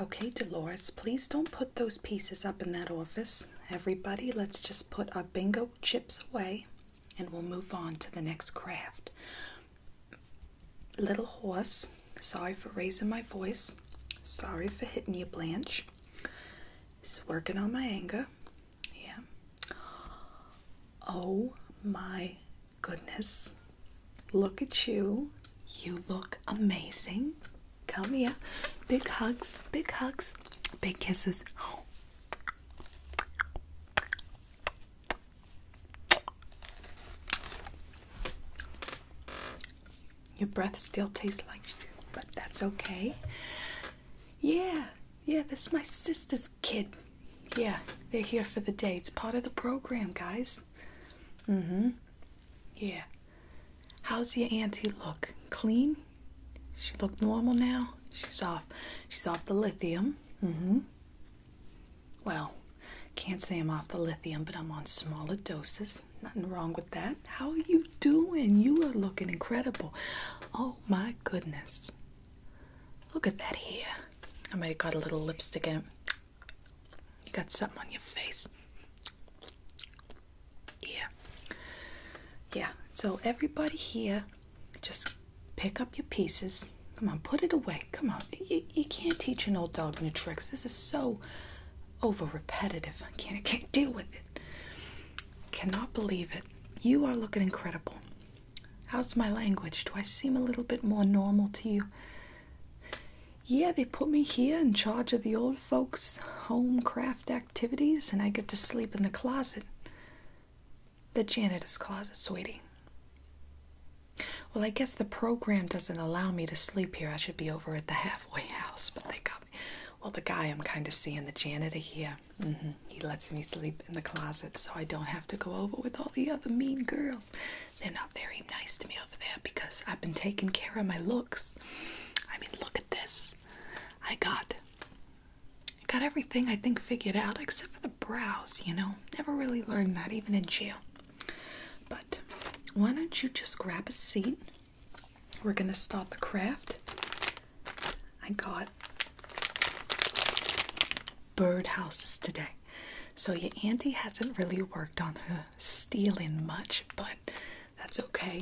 Okay, Dolores, please don't put those pieces up in that office. Everybody, let's just put our bingo chips away and we'll move on to the next craft. Little horse, sorry for raising my voice. Sorry for hitting you, Blanche. Just working on my anger. Yeah. Oh my Goodness. Look at you. You look amazing. Come here. Big hugs, big hugs, big kisses. Your breath still tastes like you, but that's okay. Yeah, yeah, that's my sister's kid. Yeah, they're here for the day. It's part of the program, guys. Mm hmm. Yeah. How's your auntie look? Clean? She look normal now? She's off. She's off the lithium. Mm hmm. Well, can't say I'm off the lithium, but I'm on smaller doses. Nothing wrong with that. How are you doing? You are looking incredible. Oh my goodness. Look at that hair. I might have got a little lipstick in it. You got something on your face. Yeah. Yeah. So everybody here, just pick up your pieces. Come on, put it away. Come on. You, can't teach an old dog new tricks. This is so over repetitive. I can't, I can't deal with it. Cannot believe it. You are looking incredible. How's my language? Do I seem a little bit more normal to you? Yeah, they put me here in charge of the old folks' home craft activities, and I get to sleep in the closet. The janitor's closet, sweetie. Well, I guess the program doesn't allow me to sleep here. I should be over at the halfway house, but they got me. Well, the guy I'm kind of seeing, the janitor here, mm-hmm, he lets me sleep in the closet so I don't have to go over with all the other mean girls they're not very nice to me over there because I've been taking care of my looks. I mean, look at this. I got I got everything I think figured out except for the brows, you know. Never really learned that even in jail. But why don't you just grab a seat? We're going to start the craft. I got birdhouses today. So your auntie hasn't really worked on her stealing much, but that's okay.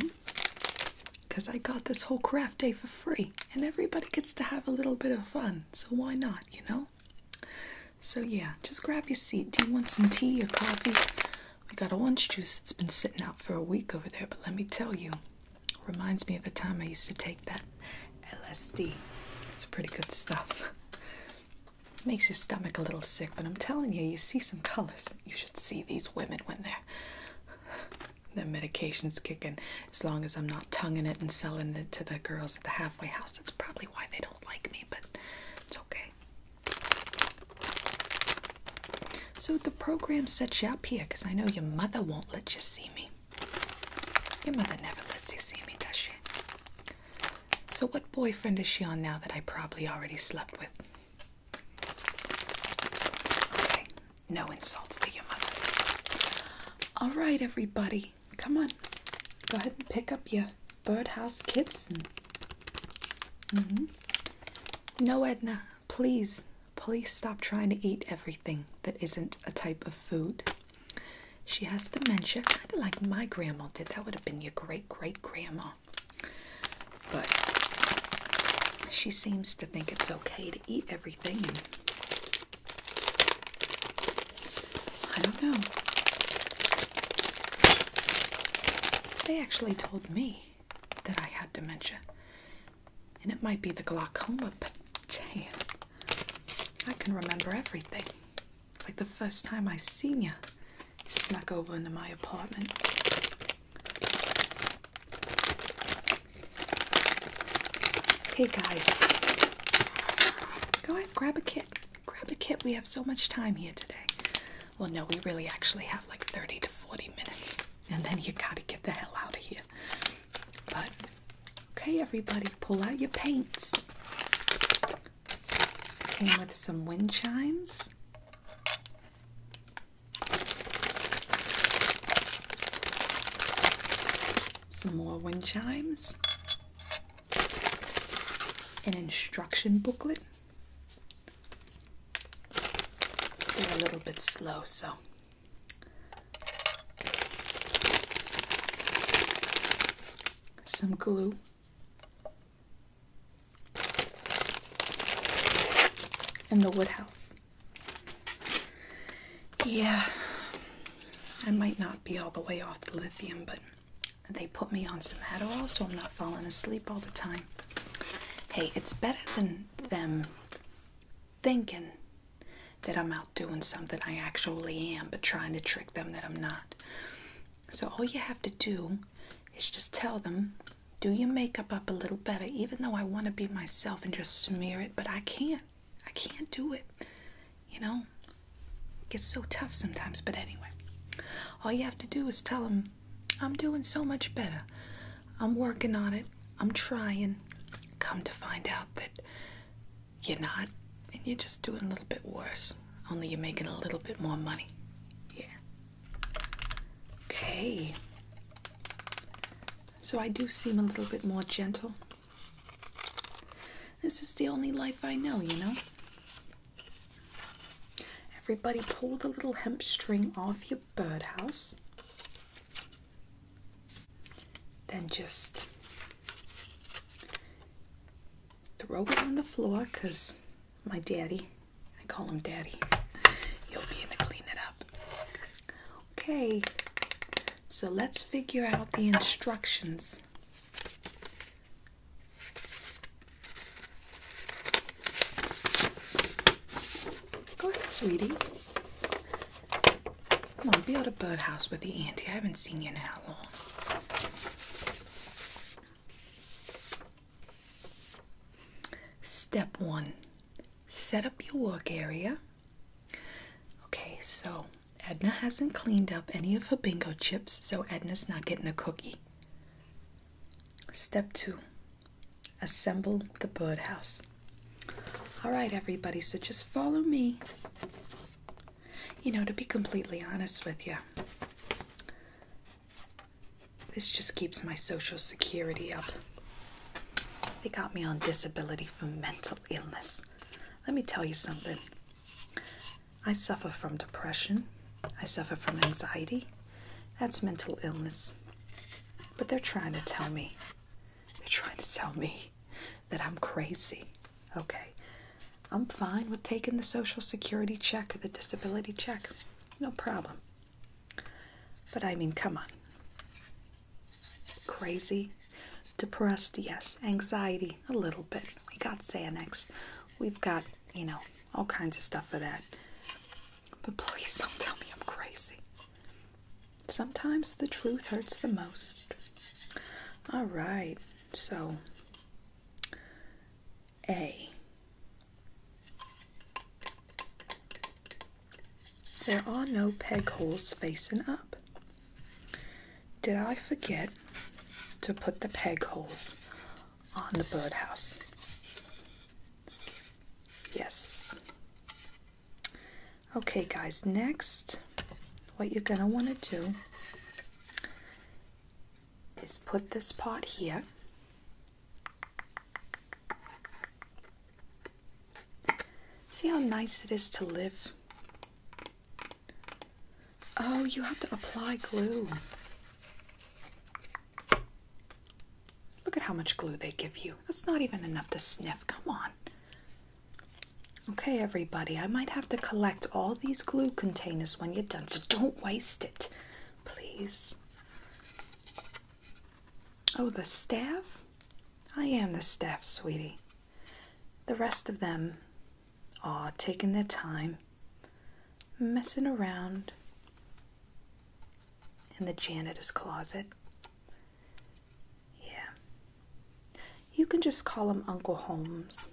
Because I got this whole craft day for free, and everybody gets to have a little bit of fun. So why not, you know? So yeah, just grab your seat. Do you want some tea or coffee? We got a lunch juice that's been sitting out for a week over there, but let me tell you, reminds me of the time I used to take that LSD. It's pretty good stuff makes your stomach a little sick, but I'm telling you, you see some colors. You should see these women when they're their medication's kicking. As long as I'm not tonguing it and selling it to the girls at the halfway house, that's probably why they don't like me, but it's okay. So the program sets you up here because I know your mother won't let you see me. Your mother never lets you see me, does she? So, what boyfriend is she on now that I probably already slept with? Okay, no insults to your mother. All right, everybody, come on. Go ahead and pick up your birdhouse kits. Mm-hmm. No, Edna, please, please stop trying to eat everything that isn't a type of food. She has dementia, kind of like my grandma did. That would have been your great great grandma. But she seems to think it's okay to eat everything. I don't know. They actually told me that I had dementia. And it might be the glaucoma, but damn, I can remember everything like the first time I seen you, snuck over into my apartment. Hey guys, go ahead, grab a kit. Grab a kit. We have so much time here today. Well, no, we really actually have like 30 to 40 minutes, and then you gotta get the hell out of here. But Okay, everybody, pull out your paints. Came with some wind chimes. Some more wind chimes. An instruction booklet. They're a little bit slow, so some glue. in the wood house. Yeah, I might not be all the way off the lithium, but they put me on some Adderall so I'm not falling asleep all the time. Hey, it's better than them thinking that I'm out doing something I actually am, but trying to trick them that I'm not. So all you have to do is just tell them, do your makeup up a little better, even though I want to be myself and just smear it, but I can't. I can't do it. You know, it gets so tough sometimes, but anyway, all you have to do is tell them, I'm doing so much better. I'm working on it. I'm trying. Come to find out that you're not, and you're just doing a little bit worse. Only you're making a little bit more money. Yeah. Okay. So I do seem a little bit more gentle. This is the only life I know, you know? Everybody pull the little hemp string off your birdhouse. Then just Throw it on the floor because my daddy, I call him daddy, he'll be in to clean it up. Okay, so let's figure out the instructions. Go ahead, sweetie. Come on, build a birdhouse with the auntie. I haven't seen you in how long. Step one set up your work area. Okay, so Edna hasn't cleaned up any of her bingo chips, so Edna's not getting a cookie. Step two assemble the birdhouse. All right, everybody, so just follow me. You know, to be completely honest with you, this just keeps my social security up. They got me on disability for mental illness. Let me tell you something. I suffer from depression, I suffer from anxiety. That's mental illness. But they're trying to tell me, they're trying to tell me that I'm crazy. Okay, I'm fine with taking the Social Security check or the disability check. No problem. But I mean, come on. Crazy? Depressed? Yes. Anxiety? A little bit. We got Xanax. We've got, you know, all kinds of stuff for that. But please don't tell me I'm crazy. Sometimes the truth hurts the most. All right. So A. There are no peg holes facing up. Did I forget to put the peg holes on the birdhouse? Yes. Okay, guys, next what you're going to want to do is put this pot here. See how nice it is to live? Oh, you have to apply glue. Look at how much glue they give you. That's not even enough to sniff. Come on. Okay, everybody, I might have to collect all these glue containers when you're done, so don't waste it, please. Oh, the staff? I am the staff, sweetie. The rest of them are taking their time, messing around in the janitor's closet. Yeah. You can just call him Uncle Holmes.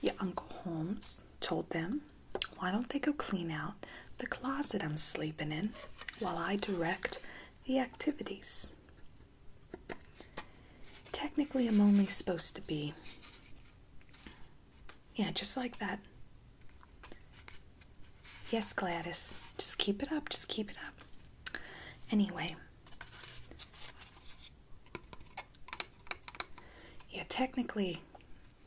Yeah, Uncle Holmes told them, Why don't they go clean out the closet I'm sleeping in while I direct the activities? Technically, I'm only supposed to be. Yeah, just like that. Yes, Gladys. Just keep it up. Just keep it up. Anyway, yeah, technically,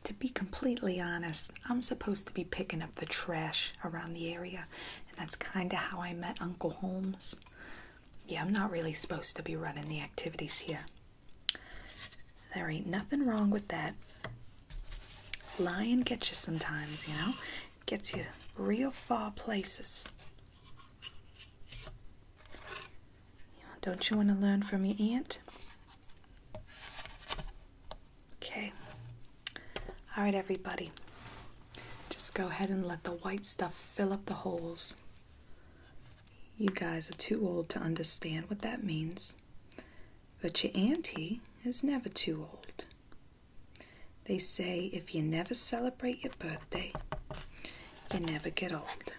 to be completely honest, I'm supposed to be picking up the trash around the area, and that's kind of how I met Uncle Holmes. Yeah, I'm not really supposed to be running the activities here. There ain't nothing wrong with that. Lying gets you sometimes, you know? Gets you real far places. Don't you want to learn from your aunt? Okay. All right, everybody. Just go ahead and let the white stuff fill up the holes. You guys are too old to understand what that means, but your auntie is never too old. They say if you never celebrate your birthday, you never get old.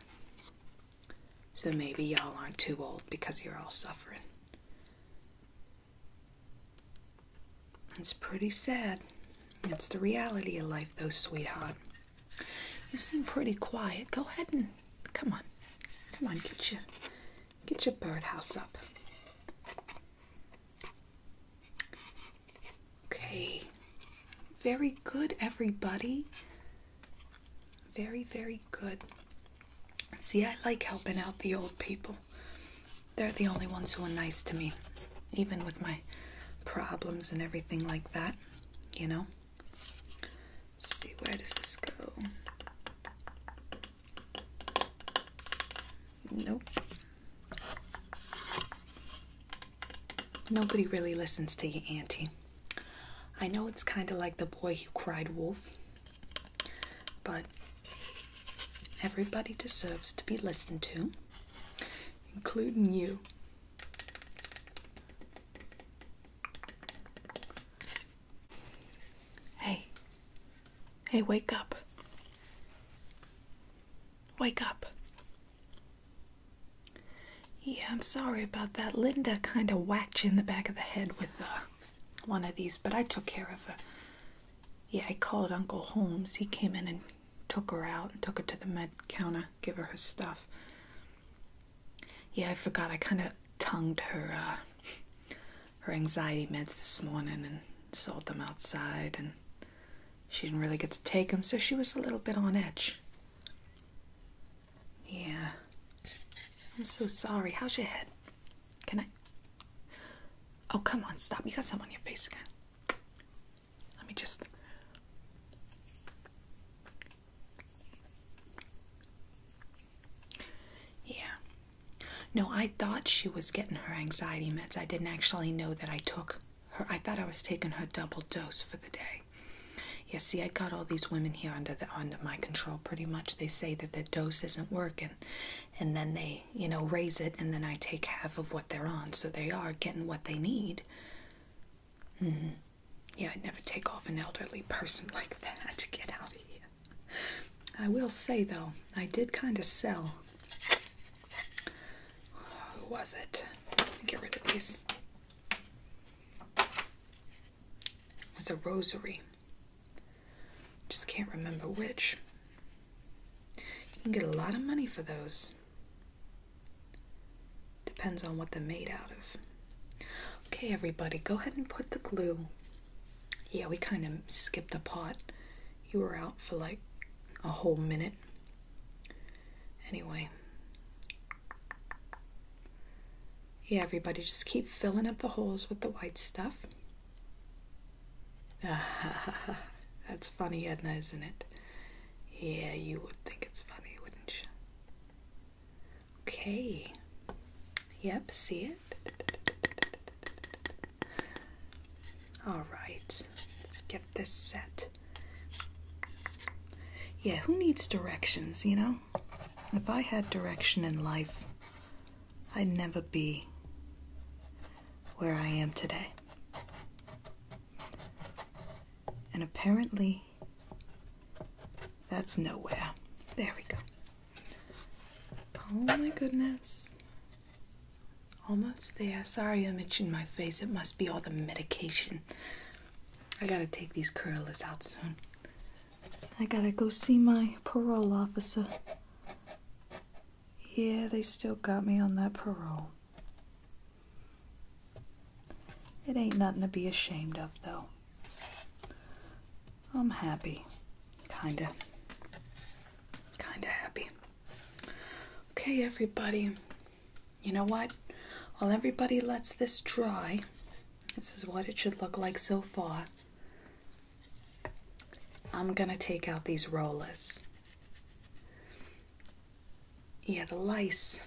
So maybe y'all aren't too old because you're all suffering. It's pretty sad. It's the reality of life, though, sweetheart. You seem pretty quiet. Go ahead and come on. Come on, get your get your birdhouse up. Okay. Very good, everybody. Very, very good. See, I like helping out the old people. They're the only ones who are nice to me, even with my problems and everything like that, you know? see, where does this go? Nope. Nobody really listens to you, Auntie. I know it's kind of like the boy who cried wolf, but everybody deserves to be listened to, including you. Hey, hey, wake up. Wake up. Yeah, I'm sorry about that. Linda kind of whacked you in the back of the head with uh, one of these, but I took care of her. Yeah, I called Uncle Holmes. He came in and took her out and took her to the med counter, give her her stuff. Yeah, I forgot. I kind of tongued her uh, her anxiety meds this morning and sold them outside and she didn't really get to take them, so she was a little bit on edge. Yeah. I'm so sorry. How's your head? Can I? Oh, come on, stop. You got some on your face again. Let me just. Yeah. No, I thought she was getting her anxiety meds. I didn't actually know that I took her, I thought I was taking her double dose for the day. Yeah, see, I got all these women here under the under my control. Pretty much, they say that the dose isn't working, and then they, you know, raise it, and then I take half of what they're on, so they are getting what they need. hmm Yeah, I'd never take off an elderly person like that. Get out of here. I will say though, I did kind of sell who was it? Get rid of these. It was a rosary. Just can't remember which. You can get a lot of money for those. Depends on what they're made out of. Okay, everybody, go ahead and put the glue. Yeah, we kind of skipped a pot. You were out for like a whole minute. Anyway. Yeah, everybody, just keep filling up the holes with the white stuff. That's funny, Edna, isn't it? Yeah, you would think it's funny, wouldn't you? Okay. Yep, see it? All right, let's get this set. Yeah, who needs directions, you know? If I had direction in life, I'd never be where I am today. And apparently, that's nowhere. There we go. Oh my goodness. Almost there. Sorry I'm itching my face. It must be all the medication. I gotta take these curlers out soon. I gotta go see my parole officer. Yeah, they still got me on that parole. It ain't nothing to be ashamed of, though. I'm happy. Kinda. Kinda happy. Okay, everybody you know what? While everybody lets this dry, this is what it should look like so far. I'm gonna take out these rollers. Yeah, the lice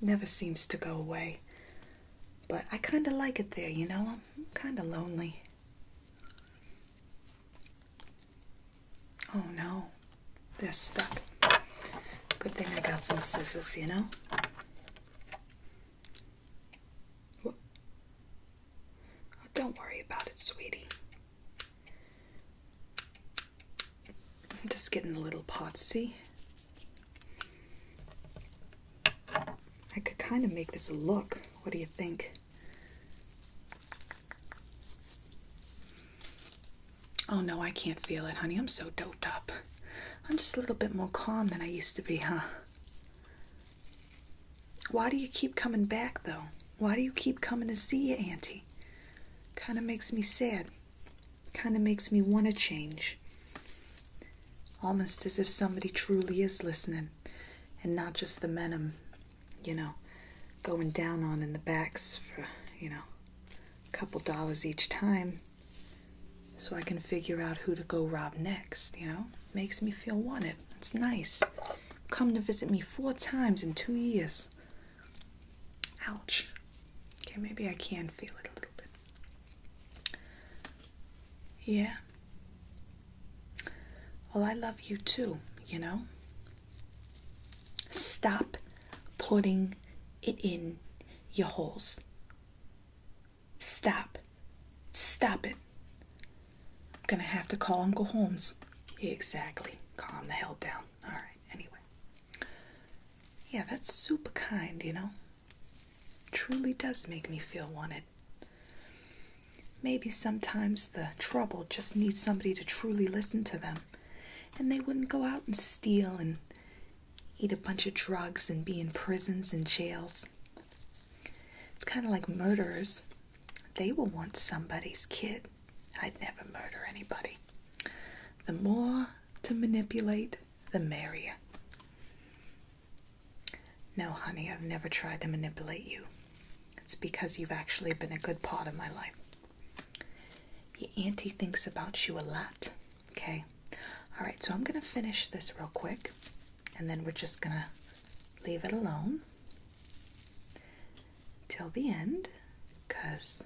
never seems to go away. But I kind of like it there, you know? I'm kind of lonely. Oh no, they're stuck. Good thing I got some scissors, you know? Oh, don't worry about it, sweetie. I'm just getting a little pots, I could kind of make this look. What do you think? Oh no, I can't feel it, honey. I'm so doped up. I'm just a little bit more calm than I used to be, huh? Why do you keep coming back, though? Why do you keep coming to see you, Auntie? Kind of makes me sad. Kind of makes me want to change. Almost as if somebody truly is listening, and not just the men i you know, going down on in the backs for, you know, a couple dollars each time so I can figure out who to go rob next, you know? Makes me feel wanted. It's nice. Come to visit me four times in two years. Ouch. Okay, maybe I can feel it a little bit. Yeah. Well, I love you too, you know? Stop putting it in your holes. Stop. Stop it. I'm gonna have to call Uncle Holmes. Exactly. Calm the hell down. All right, anyway. Yeah, that's super kind, you know? Truly does make me feel wanted. Maybe sometimes the trouble just needs somebody to truly listen to them and they wouldn't go out and steal and eat a bunch of drugs and be in prisons and jails. It's kind of like murderers. They will want somebody's kid. I'd never murder anybody. The more to manipulate, the merrier. No, honey, I've never tried to manipulate you. It's because you've actually been a good part of my life. Your auntie thinks about you a lot, okay? All right, so I'm going to finish this real quick and then we're just going to leave it alone till the end because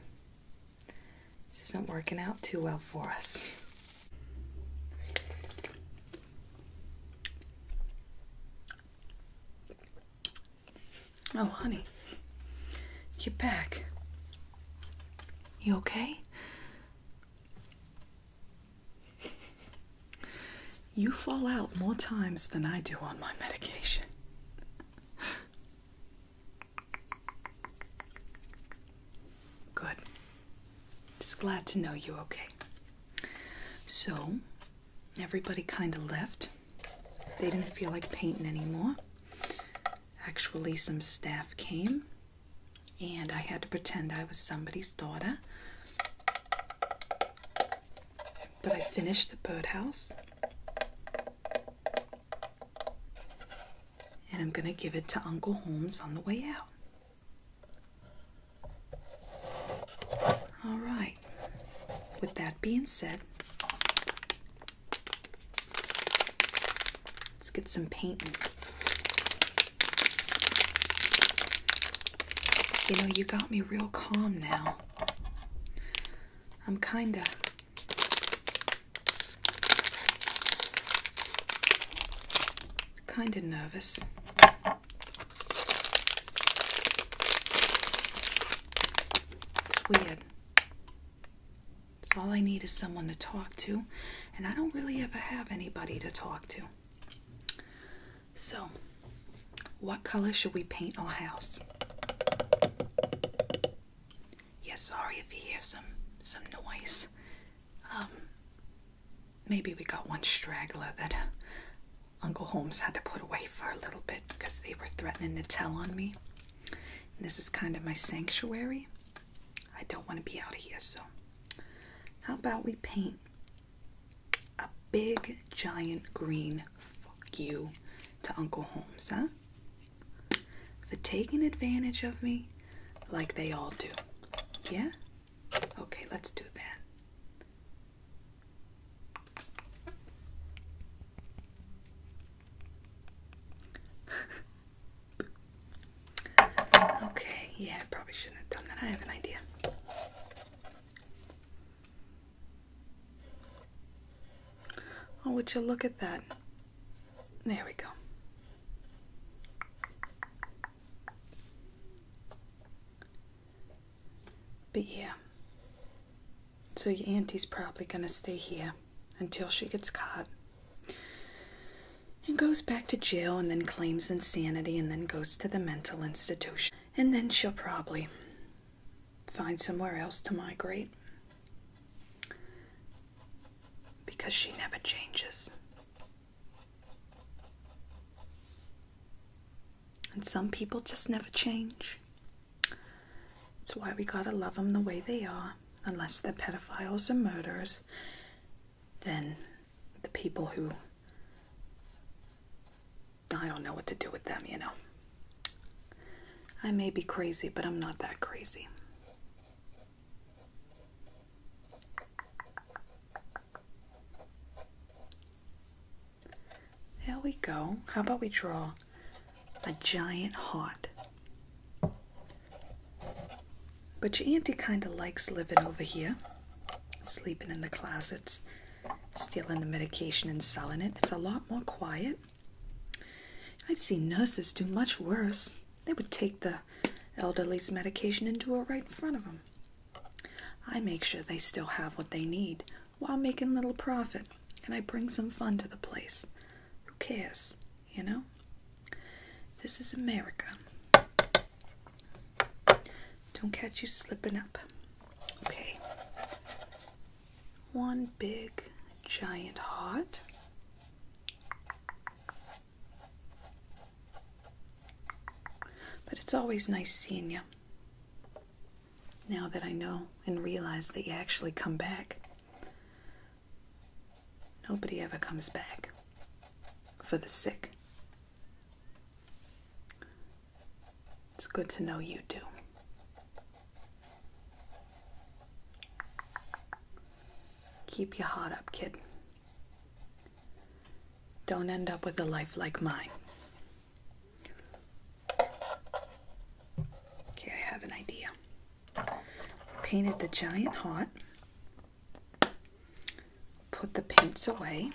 this isn't working out too well for us. Oh, honey. Get back. You okay? You fall out more times than I do on my medication. Good. Just glad to know you okay. So, everybody kind of left. They didn't feel like painting anymore. Actually, some staff came and I had to pretend I was somebody's daughter. But I finished the birdhouse. And I'm going to give it to Uncle Holmes on the way out. All right. With that being said, let's get some painting. You know, you got me real calm now. I'm kinda. kinda nervous. It's weird. So all I need is someone to talk to, and I don't really ever have anybody to talk to. So, what color should we paint our house? Yeah, sorry if you hear some some noise. Um, maybe we got one straggler that uh, Uncle Holmes had to put away for a little bit because they were threatening to tell on me this is kind of my sanctuary. I don't want to be out here, so how about we paint a big giant green fuck you to Uncle Holmes, huh? For taking advantage of me like they all do. Yeah? Okay, let's do that okay, yeah, probably shouldn't have done that. I have an idea. Oh, would you look at that? There we go. But yeah, so your auntie's probably gonna stay here until she gets caught and goes back to jail and then claims insanity and then goes to the mental institution. And then she'll probably find somewhere else to migrate because she never changes. And some people just never change. That's why we gotta love them the way they are. Unless they're pedophiles and murderers, then the people who. I don't know what to do with them, you know. I may be crazy, but I'm not that crazy. There we go. How about we draw a giant heart? But your auntie kind of likes living over here, sleeping in the closets, stealing the medication and selling it. It's a lot more quiet. I've seen nurses do much worse. They would take the elderly's medication and do it right in front of them. I make sure they still have what they need while making little profit, and I bring some fun to the place. Who cares, you know? This is America. Don't catch you slipping up. Okay. One big giant heart. But it's always nice seeing you now that I know and realize that you actually come back. Nobody ever comes back for the sick. It's good to know you do. Keep your heart up, kid. Don't end up with a life like mine. Okay, I have an idea. Painted the giant hot. Put the paints away.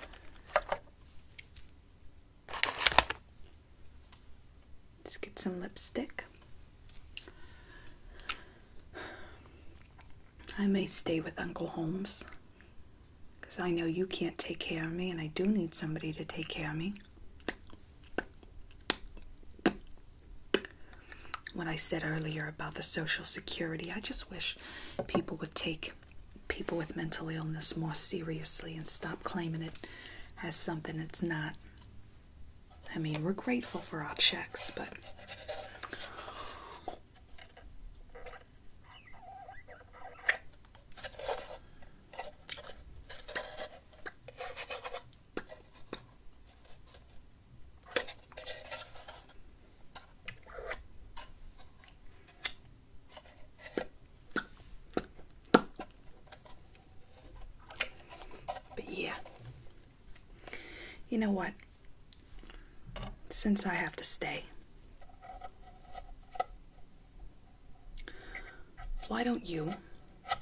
let get some lipstick. I may stay with Uncle Holmes because I know you can't take care of me and I do need somebody to take care of me. When I said earlier about the social security, I just wish people would take people with mental illness more seriously and stop claiming it as something it's not. I mean, we're grateful for our checks, but. But yeah, you know what? Since I have to stay, why don't you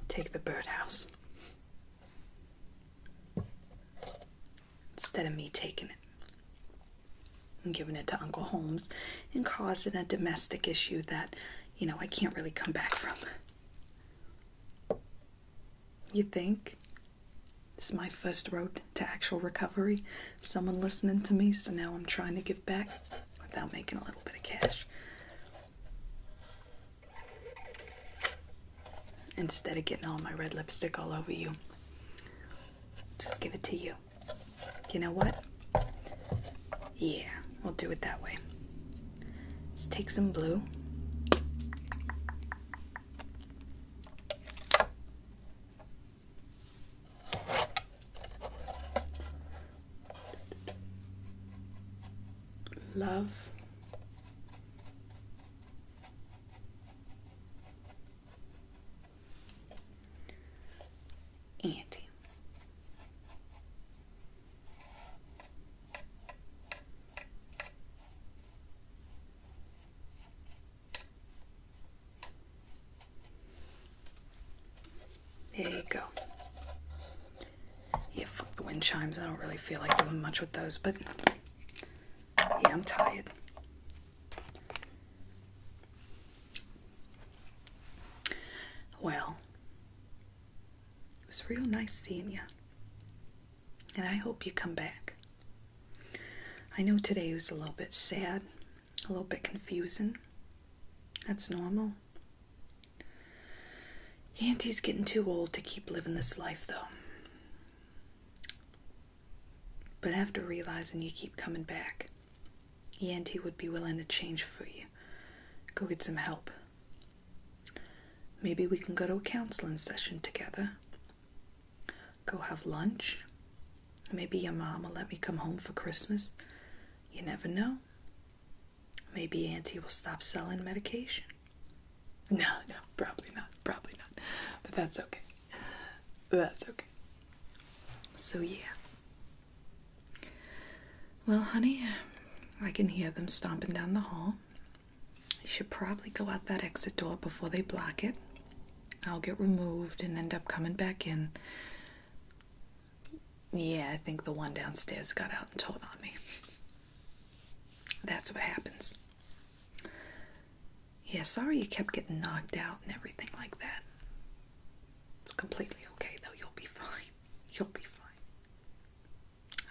take the birdhouse instead of me taking it and giving it to Uncle Holmes and causing a domestic issue that, you know, I can't really come back from? You think? This is my first road to actual recovery. Someone listening to me, so now I'm trying to give back without making a little bit of cash. Instead of getting all my red lipstick all over you, just give it to you. You know what? Yeah, we'll do it that way. Let's take some blue love Auntie. There you go. Yeah, fuck the wind chimes. I don't really feel like doing much with those, but yeah, I'm tired. Well, it was real nice seeing you. And I hope you come back. I know today was a little bit sad, a little bit confusing. That's normal. Yanty's getting too old to keep living this life, though. But after realizing you keep coming back, Yanty would be willing to change for you. Go get some help. Maybe we can go to a counseling session together. Go have lunch. Maybe your mom will let me come home for Christmas. You never know. Maybe Auntie will stop selling medication. No, no, probably not. Probably not. But that's okay. That's okay. So, yeah. Well, honey, uh, I can hear them stomping down the hall. You should probably go out that exit door before they block it. I'll get removed and end up coming back in. Yeah, I think the one downstairs got out and told on me. That's what happens. Yeah, sorry you kept getting knocked out and everything like that. It's completely okay though, you'll be fine. You'll be fine.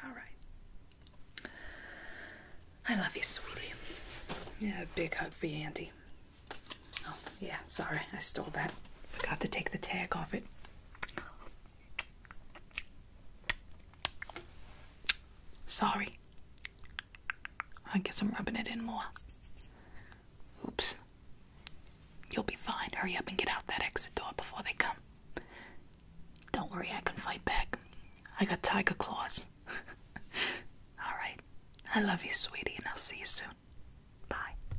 Alright. I love you, sweetie. Yeah, big hug for you, Auntie. Oh, yeah, sorry, I stole that. Forgot to take the tag off it. Sorry. I guess I'm rubbing it in more. Oops. You'll be fine. Hurry up and get out that exit door before they come. Don't worry, I can fight back. I got tiger claws. Alright. I love you, sweetie, and I'll see you soon. Bye.